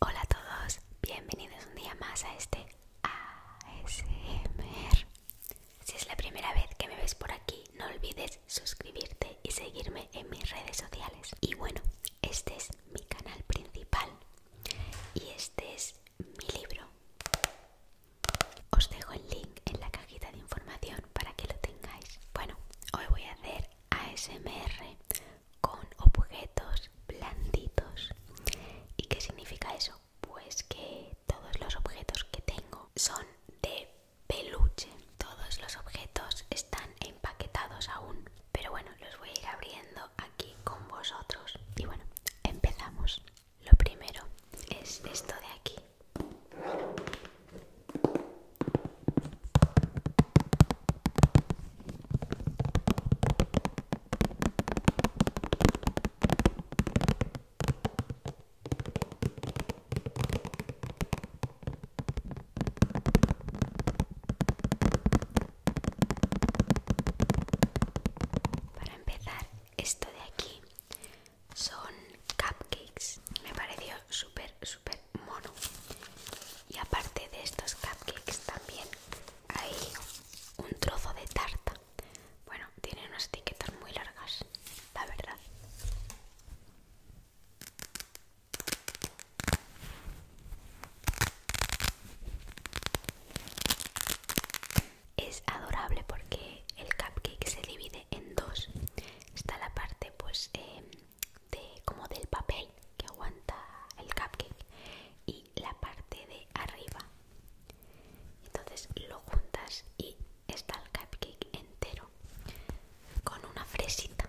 Hola a todos, bienvenidos un día más a este ASMR. Si es la primera vez que me ves por aquí, no olvides suscribirte y seguirme en mis redes sociales. Y bueno, este es mi canal principal y este es mi libro. Os dejo el link en la cajita de información para que lo tengáis. Bueno, hoy voy a hacer ASMR con objetos blanditos. ¿Y qué significa eso? Pues que todos los objetos que tengo son de peluche. Todos los objetos están empaquetados aún. Pero bueno, los voy a ir abriendo aquí con vosotros. Y bueno, empezamos. Lo primero es esto de aquí. Para empezar, esto de aquí son cupcakes. Me pareció súper, mono y aparte de estos cupcakes también hay un trozo de tarta bueno tiene unas etiquetas muy largas la verdad es adorable porque el cupcake se divide en dos. Está la parte pues em, de, como del papel que aguanta el cupcake y la parte de arriba. Entonces lo juntas y está el cupcake entero con una fresita.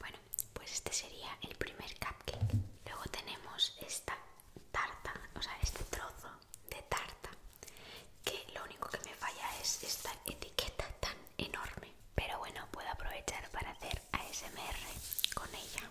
Bueno, pues este sería el primer cupcake. Luego tenemos esta tarta, o sea, este trozo de tarta, que lo único que me falla es esta etiqueta tan enorme. Pero bueno, puedo aprovechar para hacer ASMR con ella.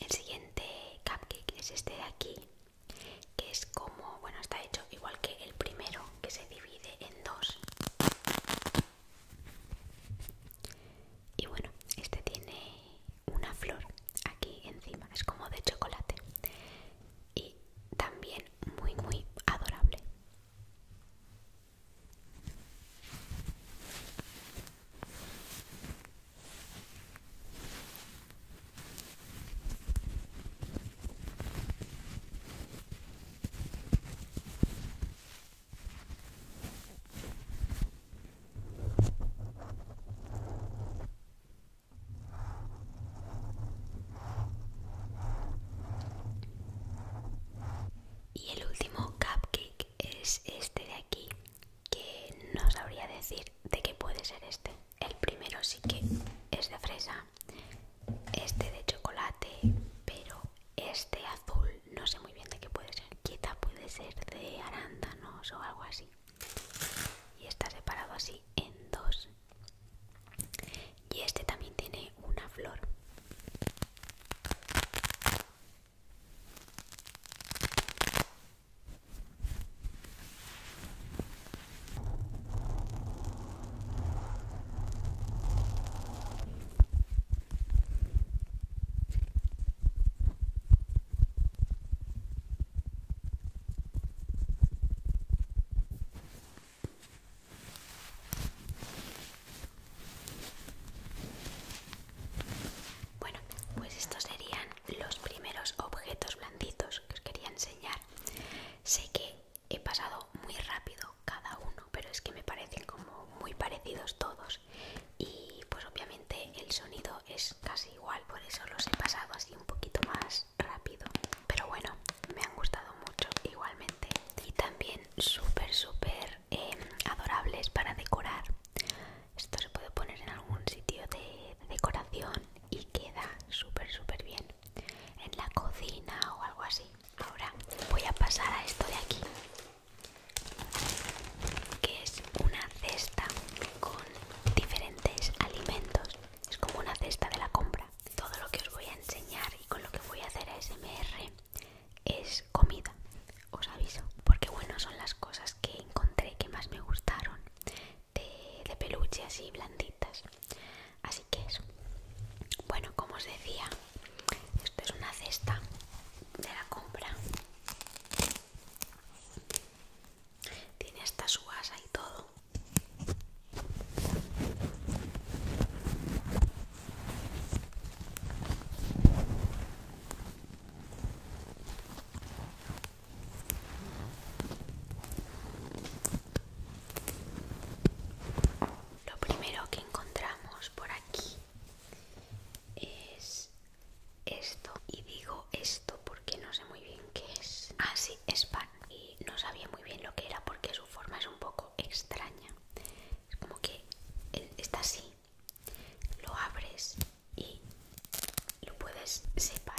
El siguiente cupcake es este de aquí, que es como, bueno, está hecho igual que el primero, que se divide en dos. Y bueno, este tiene una flor aquí encima, es como de chocolate y también muy muy adorable y el último cupcake es este de aquí, que no sabría decir de qué puede ser este. El primero sí que es de fresa, este de chocolate, pero este azul no sé muy bien de qué puede ser. Quizá puede ser de arándanos o algo así y está separado así en dos y este también tiene una flor bueno, pues estos serían los primeros objetos blanditos que os quería enseñar. Sé que he pasado muy rápido cada uno, pero es que me parecen como muy parecidos todos. Y pues obviamente el sonido es casi igual, por eso los he pasado así un poquito más rápido. Pero bueno, me han gustado mucho igualmente. Y también súper, súper em, adorables para decorar. Esto se puede poner en algún sitio de decoración y queda súper, súper bien. En la cocina o algo así. Ahora voy a pasar a esto de aquí que es una cesta con diferentes alimentos. Es como una cesta de la compra. Todo lo que os voy a enseñar y con lo que voy a hacer smr es comida, os aviso. Porque bueno, son las cosas que encontré que más me gustaron de, peluches y así blanditas. Así que eso. Bueno, como os decía, esto es una cesta de la compra. Tiene esta su y todo. Lo primero que encontramos por aquí es esto y digo esto porque no sé muy bien qué es. Ah, sí, es pan. Y no sabía muy bien lo que era porque su forma es un poco extraña. Es como que está así, lo abres y lo puedes separar.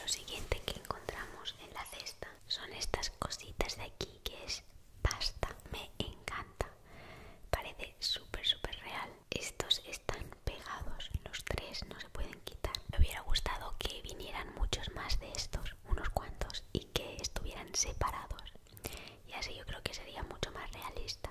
Lo siguiente que encontramos en la cesta son estas cositas de aquí que es pasta. Me encanta. Parece súper, súper real. Estos están pegados, los tres no se pueden quitar. Me hubiera gustado que vinieran muchos más de estos, unos cuantos, y que estuvieran separados. Y así yo creo que sería mucho más realista.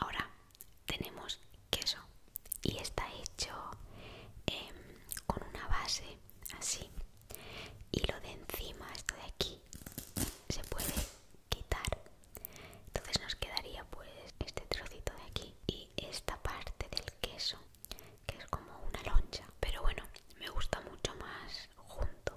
Ahora tenemos queso y está hecho em, con una base así y lo de encima, esto de aquí, se puede quitar. Entonces nos quedaría pues este trocito de aquí y esta parte del queso que es como una loncha, pero bueno, me gusta mucho más junto.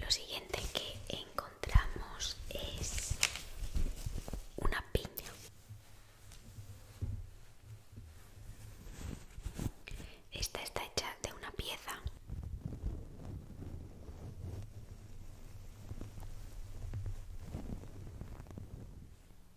Lo siguiente que encontramos es una piña. Esta está hecha de una pieza.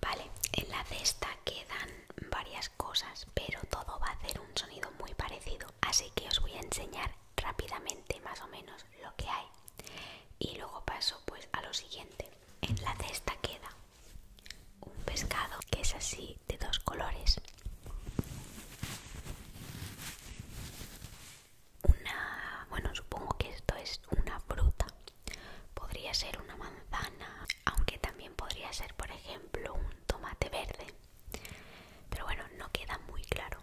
Vale, en la cesta quedan varias cosas, pero todo va a hacer un sonido muy parecido, así que os voy a enseñar rápidamente más o menos lo que hay y luego paso pues a lo siguiente. En la cesta queda un pescado que es así de dos colores una bueno supongo que esto es una fruta podría ser una manzana aunque también podría ser por ejemplo un tomate verde pero bueno no queda muy claro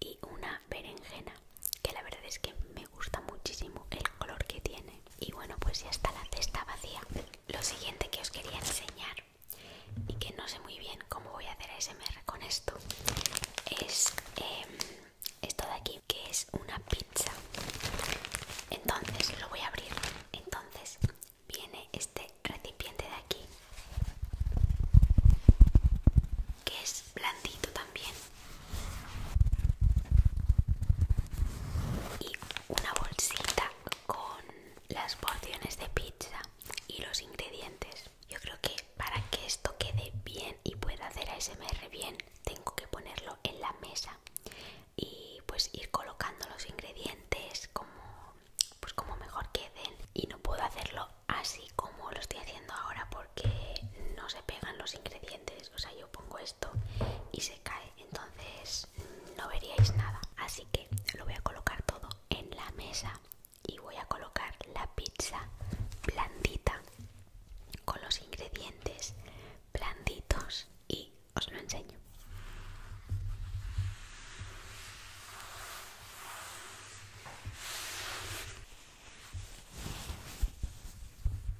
y una berenjena que la verdad es que me gusta muchísimo el color que tiene y bueno, pues ya está la cesta vacía. Lo siguiente que os quería enseñar y que no sé muy bien cómo voy a hacer ASMR con esto es em, esto de aquí, que es una pizza. Entonces lo voy a abrir. Entonces viene este recipiente de aquí, que es blandito también y una bolsita con las porciones de pizza y los ingredientes. Yo creo que para que esto quede bien y pueda hacer ASMR bien, tengo que ponerlo en la mesa y pues ir colocando los ingredientes como pues como mejor queden y no puedo hacerlo así como lo estoy haciendo ahora porque no se pegan los ingredientes, o sea, yo pongo esto y se cae entonces no veríais nada así que lo voy a colocar todo en la mesa y voy a colocar la pizza blandita con los ingredientes blanditos y os lo enseño